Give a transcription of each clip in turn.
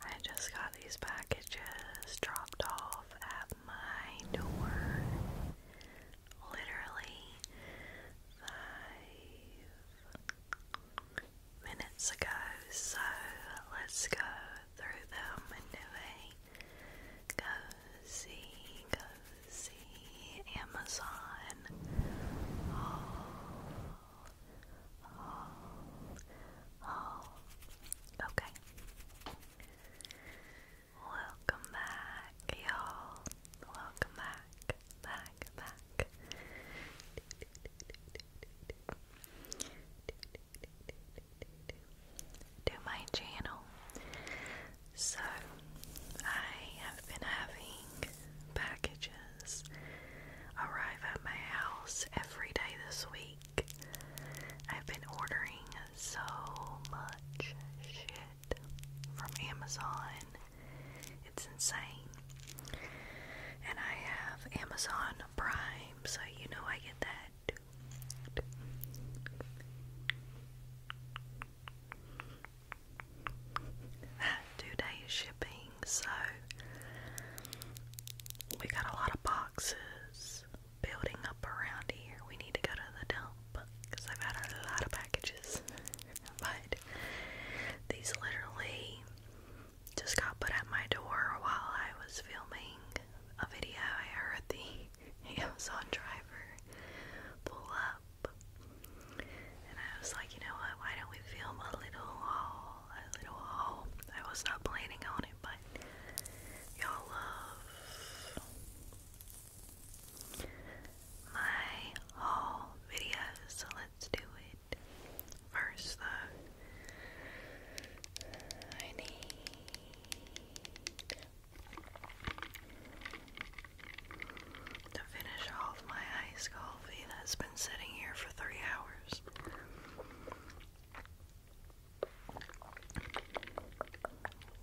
I just got these packages dropped off at my door. Literally five minutes ago, so let's go through them and cozy, cozy Amazon oh, all, oh, oh, Okay. Welcome back, y'all. Welcome back, back, back. To my channel. So, I have been having packages arrive at my house every day this week. I've been ordering so much shit from Amazon. It's insane. And I have Amazon Prime, so you know I get that two day shipping, so we got a lot of boxes building up around here. We need to go to the dump because I've had a lot of packages, but these literally just got put at my door while I was filming a video. I heard the Amazon driver pull up and I was like, you know what? Why don't we film a little haul? A little haul. I was not planning on it, but y'all love my haul videos, so let's do it. First, though, I need to finish off my iced coffee that's been sitting here for three hours.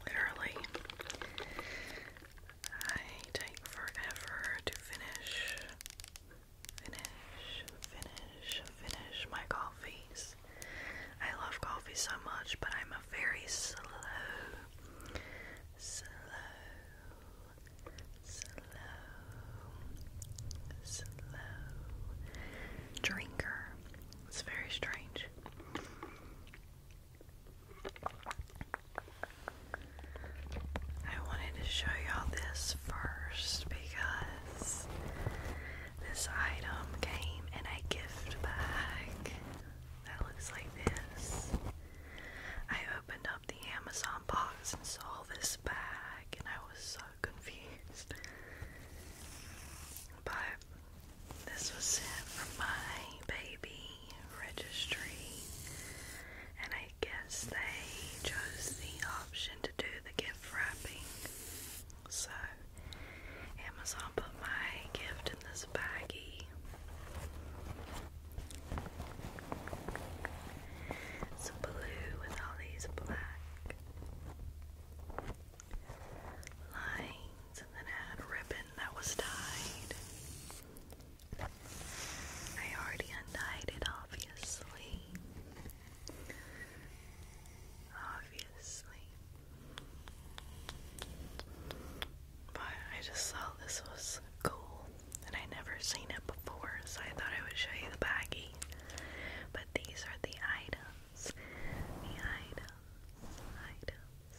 Literally, I take forever to finish, finish, finish, finish my coffees. I love coffee so much, but I'm a very slow, slow, slow, slow drinker. It's very strange. I wanted to show y'all this first because this item came in a gift bag that looks like this. I opened opened up the Amazon box and saw this bag, and I was so confused. But this was sent from my baby registry, and I guess they chose the option to do the gift wrapping. So Amazon put my gift in this baggie. Some blue with all these black lines, and then I had ribbon that was tied. I already untied it, obviously. Obviously. But I just saw this was cool and I never seen it before, so I thought I would show you the baggy. But these are the items. The items, items,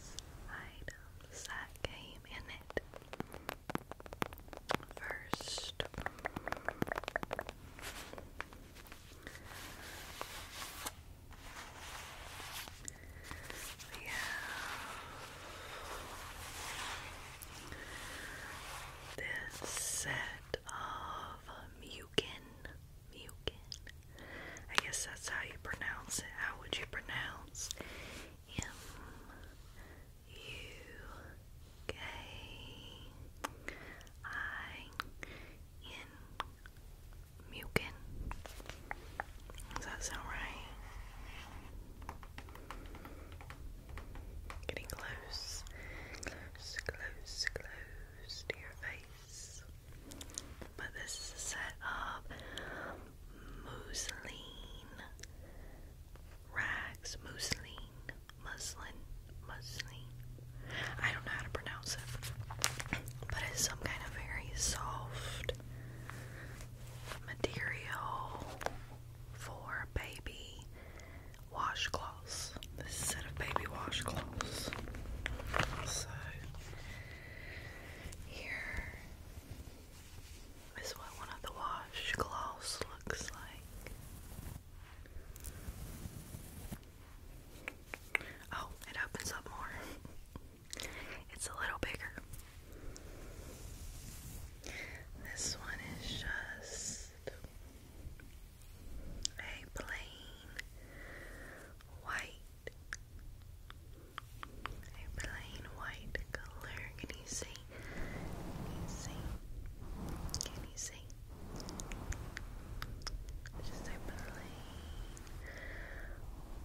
items that came in it. First we have this set of um, Mugen. Mugen. I guess that's how you pronounce it. How would you pronounce M U K I N Mugen? Does that sound right? Getting close, close, close, to your face. But this is a set of mousseline rags, mousseline, muslin, muslin. I don't know how to pronounce it, but it's some kind of very soft material for baby washcloths. This is a set of baby washcloths. So, here is what one of the washcloths looks like. Oh, it opens up more. It's a little bigger. This one is just a plain white, a plain white color. Can you see? Can you see? Can you see? Just a plain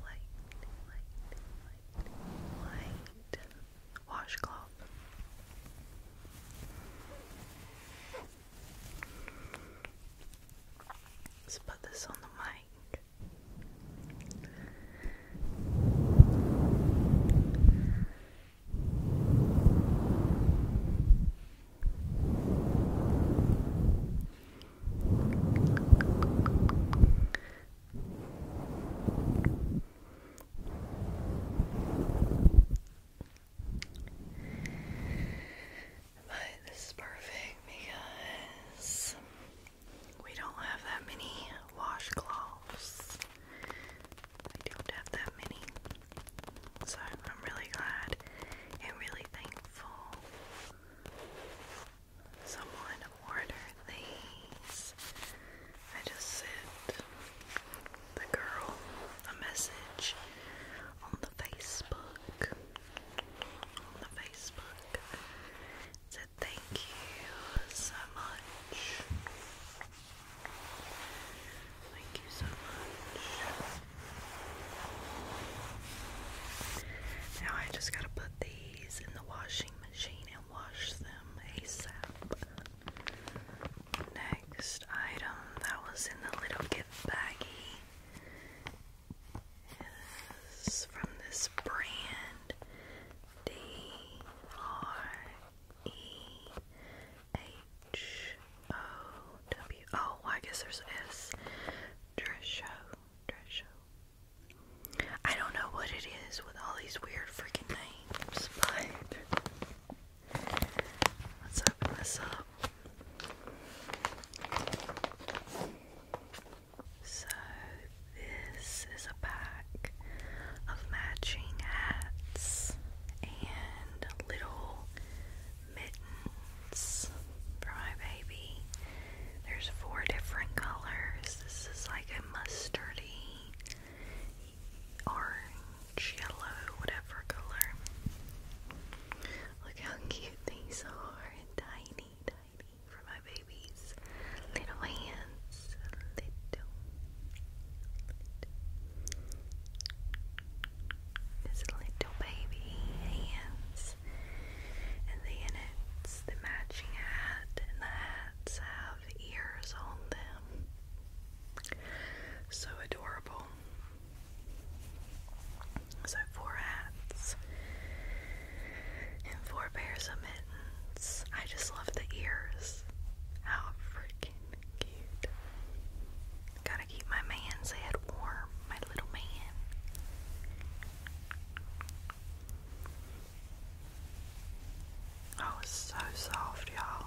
white, white, white washcloth. Let's put this on the mic. But this is perfect because we don't have that many washcloths. I don't have that many. So I'm really glad and really thankful someone order these. I just sent the girl a message on the Facebook. On the Facebook. Said thank you so much. Thank you so much. Now I just gotta put these in the wash machine and wash them ASAP. Next item that was in the little gift baggie is from this brand D R E H O W. Oh, I guess there's S. Dresho, Dresho, I don't know what it is with all these weird freaking names, but let's open this up. So, this is a pack of matching hats and little mittens for my baby. There's four different colors. This is like a mustardy, orange, yellow, whatever color. Look how cute these are. Tiny, tiny for my babies. Little hands. little. This little baby hands. And the innits, the matching hat, and the hats have ears on them. So adorable. So four hats and four pairs of mittens. I just love the ears. How freaking cute. Gotta keep my man's head warm, my little man. Oh, it's so soft, y'all.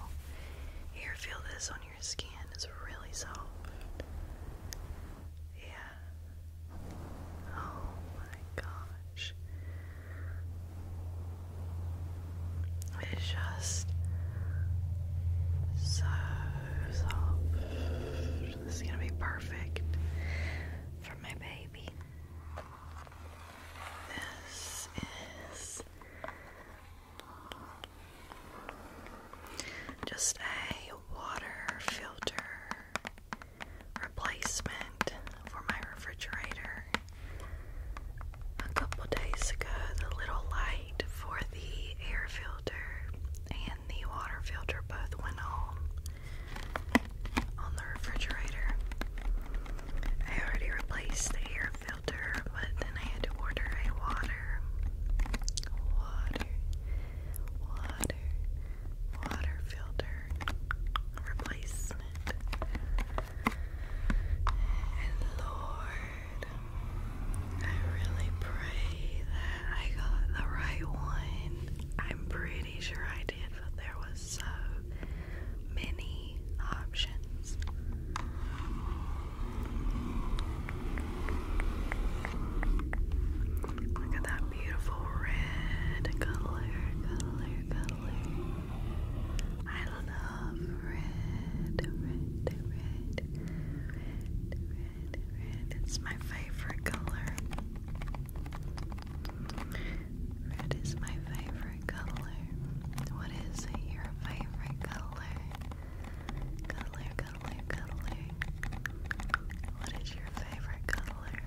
Here, feel this on your skin. It's really soft. Yeah. Oh my gosh. It's just so soft. This is gonna be perfect for my baby. This is just a water filter replacement for my refrigerator. A couple days ago, the little light for the air filter and the water filter both went on on the refrigerator. I already replaced the air filter, but then I had to order a water, water, water, water filter replacement. And Lord, I really pray I got the right one. I'm pretty sure I did, but there was so many options. Look at that beautiful red color, color, color. I love red, red, red, red, red, red, red. my favorite color. Red is my favorite color. What is your favorite color? Color, color, color. What is your favorite color?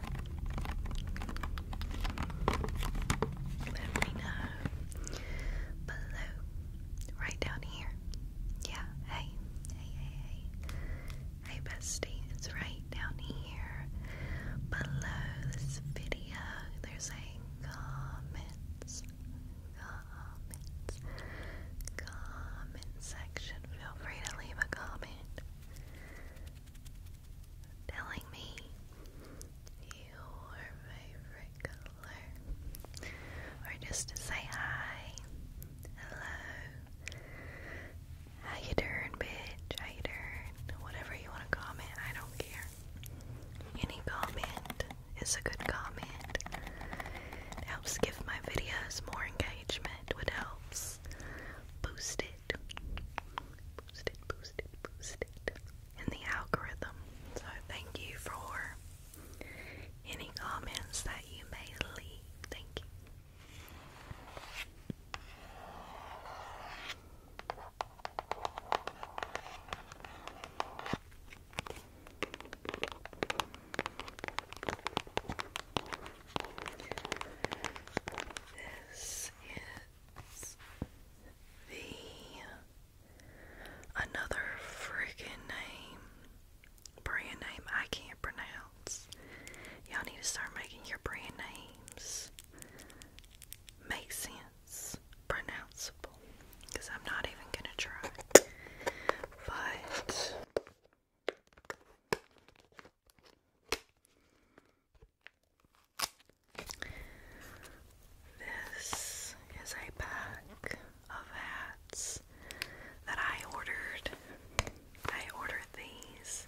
Let me know below. Right down here. Yeah, hey, hey, hey, hey. Hey bestie, it's right down here below this video. There's a comments, comments, comment section. Feel free to leave a comment telling me your favorite color or just to say hi, hello, how you doing, bitch? How you doing? Whatever you want to comment, I don't care. Any comment is a good comment. It helps give my videos more engagement, which helps boost it. Boost it, boost it, boost it. In the algorithm. So thank you for any comments that you may leave. Thank you. This is the another freaking name brand name I can't pronounce. Y'all need to start making your brand names make sense, pronounceable, because I'm not even gonna try. But this is a pack of hats that I ordered. I ordered these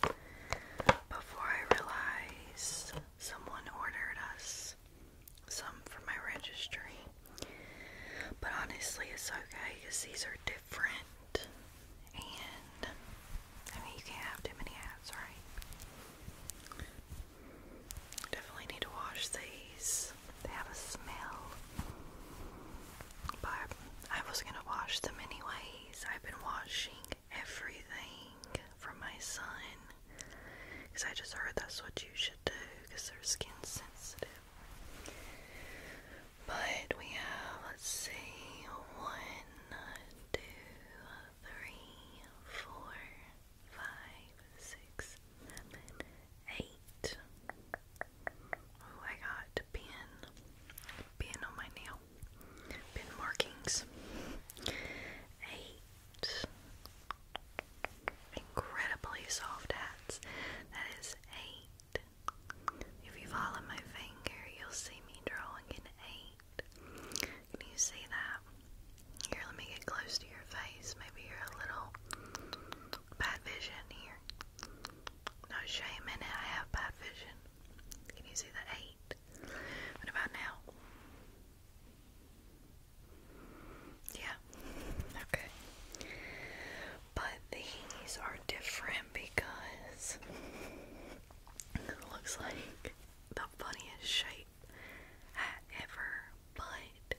before I realized someone ordered us some for my registry. But honestly, it's okay because these are different. And I mean, you can't have too many hats, right? Definitely need to wash these. They have a smell. But I was gonna wash them anyways. I've been washing everything from my son because I just heard that's what you should do because their skin sensitive. But we have, let's see, one, two, three, four, five, six, seven, eight. Oh, I got pin, pin on my nail, pin markings. Eight incredibly soft hats. That is eight. If you follow my finger, you'll see me drawing an eight. Can you see that? Here, let me get close to your face. Maybe you're a little bad vision here. No shame in it, I have bad vision. Can you see the eight? What about now? Yeah, okay. But these are different because it looks like the funniest shape ever. But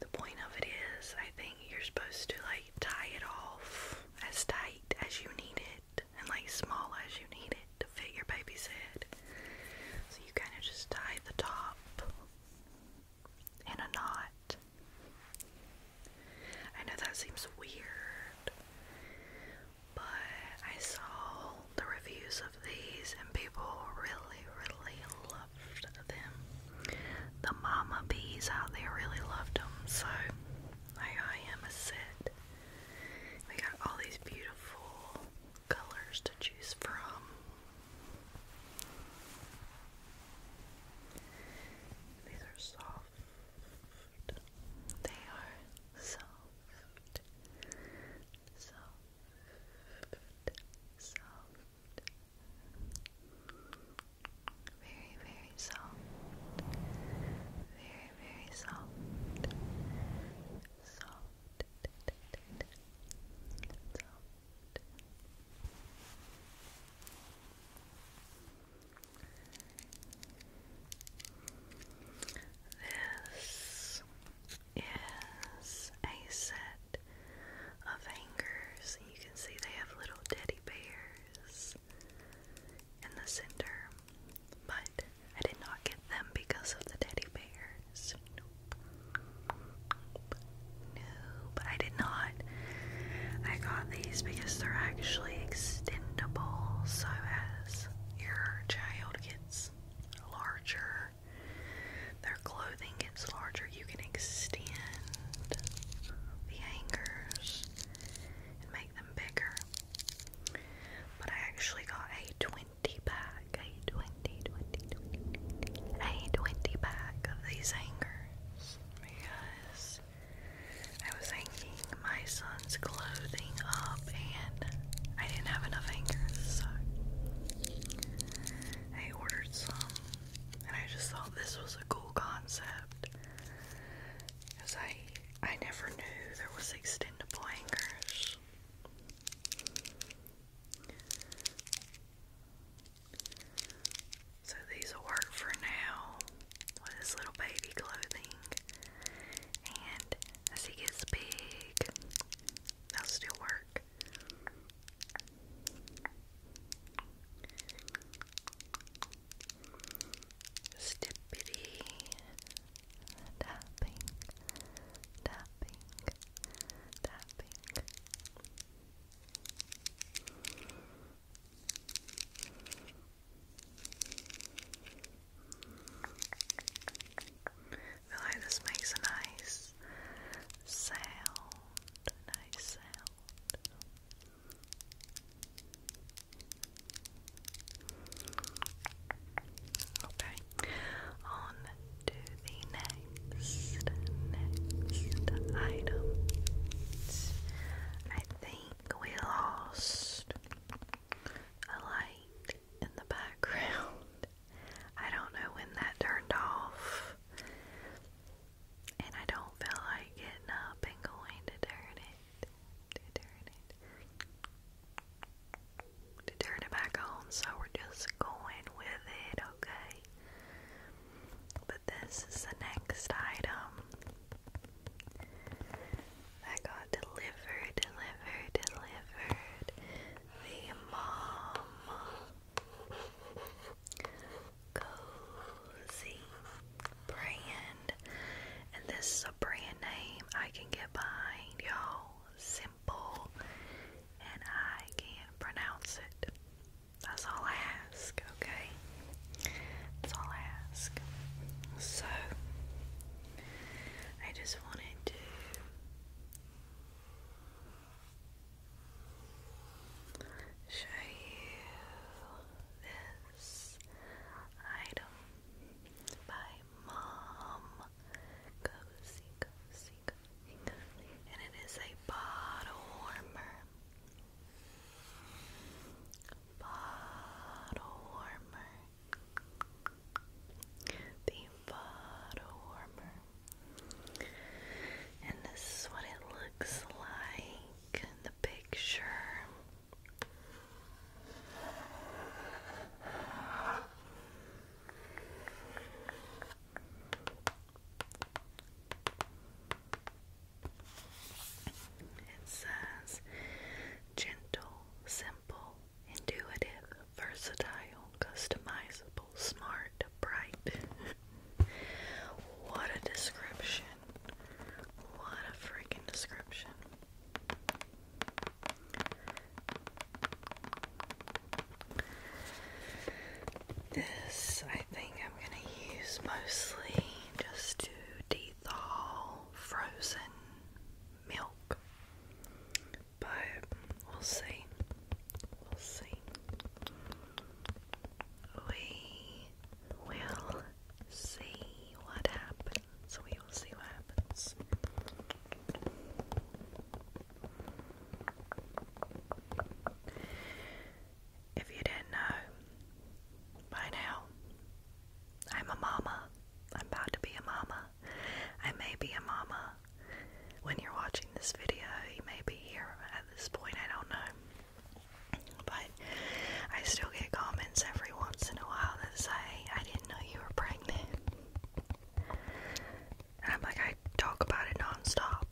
the point of it is, I think you're supposed to like tie it off as tight as you need it and like small as you need it to fit your baby's head. So you kind of just tie the top in a knot. I know that seems weird, but I saw the reviews of these and people really, really love the mama bees out there really loved them, so I am a set. We got all these beautiful colors to choose from. These are soft. They are soft. Soft. Soft. Very, very soft. Very, very soft. Soft. Soft. This is a set of hangers. You can see they have little teddy bears in the center, but I did not get them because of the teddy bears. Nope. No, but I did not. I got these because they're actually extendable, so as your child gets larger, clothing gets larger, you can extend the hangers and make them bigger. But I actually got a 20 pack, a 20, a 20 pack of these hangers because I was hanging my son's clothing up and I didn't have enough hangers, so I ordered some and I just thought this was a cool concept because I I never knew there was extendable anchors. So these will work for now with his little baby clothing. And as he gets big, they'll still work work. Stippity tapping, tapping, tapping. feel like this makes a nice sound nice sound. Okay, on to the next, next item. I think we lost a light in the background. I don't know when that turned off and I don't feel like getting up and going to turn it, to turn it, to turn it back on, so we're just going with it, okay? But this is the next item that got delivered, delivered, delivered. The mom Cozy brand. And this is a brand name I can get behind, y'all. Simple. And I can pronounce it. That's all I ask, okay? That's all I ask. So, I just wanted to show you this item by Mom Cozy, Cozy, Cozy, and it is a bottle warmer. Bottle warmer. The bottle warmer. And this is what it looks like in the picture. It says gentle, simple, intuitive, versatile, customizable smart, bright. what a description. What a freaking description. This, I think, I'm going to use mostly just to de frozen milk, but we'll see. We'll see. what happens. We will see what happens. If you didn't know, by now, I'm a mama. I'm about to be a mama. I may be a mama when you're watching this video, you may be here at this point, I don't know. But I still get comments every once in a while that say, I didn't know you were pregnant. And I'm like, I talk about it nonstop.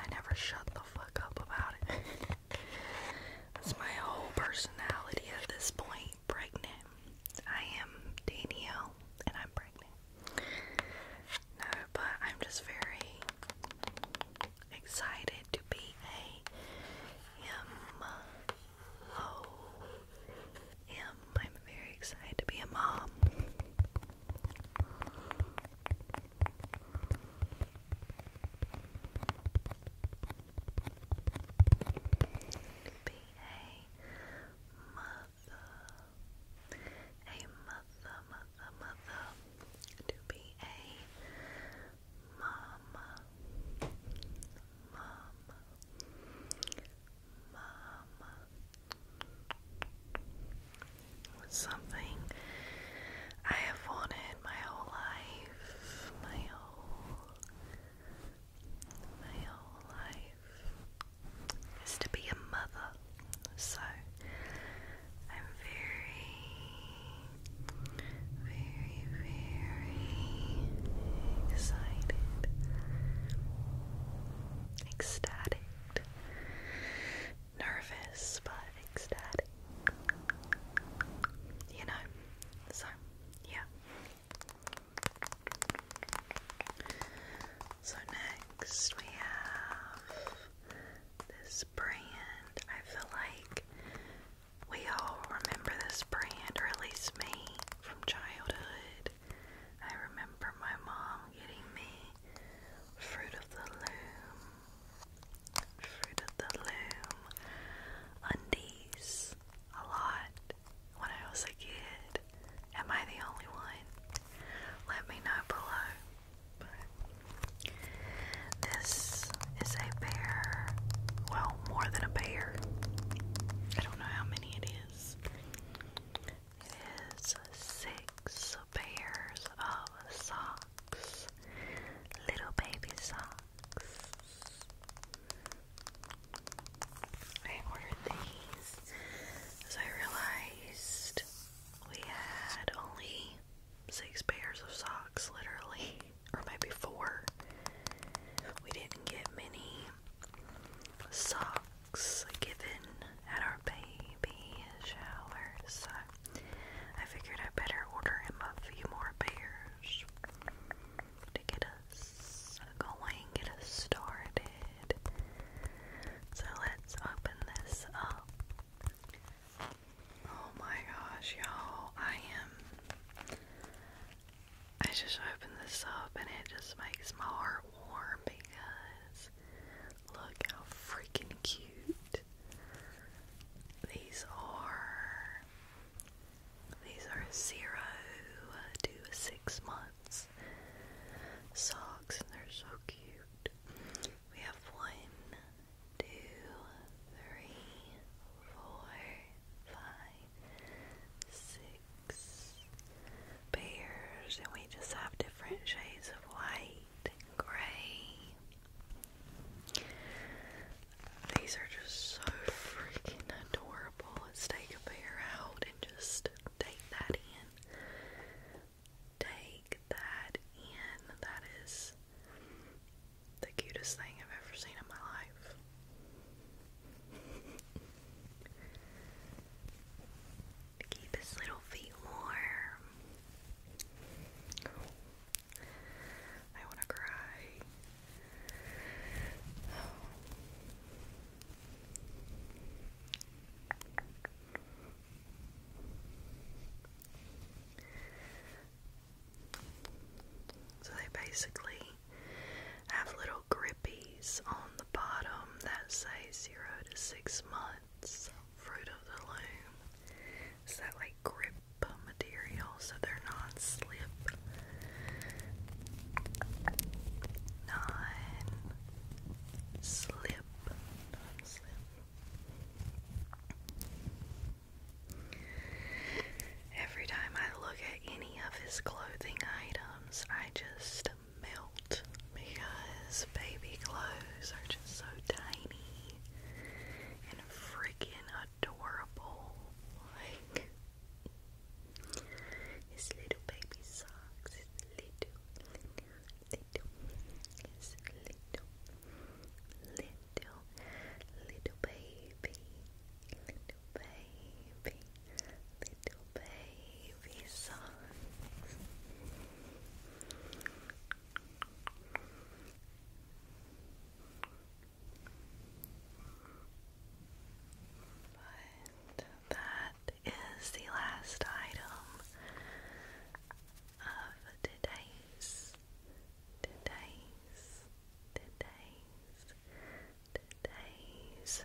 I never shut the fuck up about it. That's my whole personality at this point. Pregnant. I am Danielle, and I'm pregnant. No, but I'm just very excited to be a M O M. I'm very excited to be a mom a mother, mother, mother, to be a mama, mama, mama. Something I have wanted my whole life, my whole, my whole life is to be a mother. So I'm very, very, very excited, ecstatic, nervous, but ecstatic. You know, so yeah. So, Next, we have this brand. I feel like we all remember this brand, or at least me, from childhood. I remember my mom getting me Fruit of the Loom. Fruit of the Loom undies a lot when I was a kid. Am I the only one? Let me know below. this is a bear. Well, more than a bear. I don't know how many it is. It is six pairs of socks. Little baby socks. I ordered these as I realized we had only six pairs of socks, literally, or maybe four. We didn't get many socks given at our baby shower, so I figured I better order him a few more pairs to get us going, get us started. So let's open this up. Oh my gosh, y'all, I am. I just opened this up and it just makes my heart warm because look how freaking cute these are. These are zero to six months socks, and they're so cute. We have one, two, three, four, five, six pairs, and we just have different shades of white and gray. These are just so freaking adorable. Let's take a pair out and just take that in. Take that in. That is the cutest thing I've ever seen in my life. keep his little feet warm. I want to cry. So they basically have little grippies on the bottom that say zero to six months fruit of the loom. It's that like grip material so they're not slip. Nine slip, not slip. Every time I look at any of his clothing items, I just melt because baby clothes are just so tiny and freaking adorable. Like, his little baby socks, his little, little, his little, little, little baby, little baby, little baby socks. But that is the last item of today's, today's, today's, today's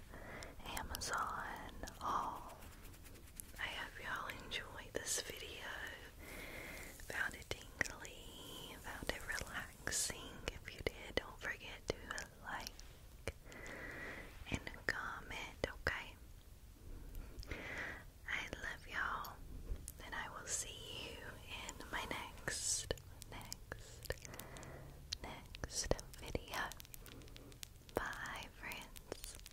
Amazon haul. I hope y'all enjoyed this video. Found it tingly, found it relaxing. If you did, don't forget to like and comment, okay? I love y'all, and I will see you in my next, next, next video. Bye, friends.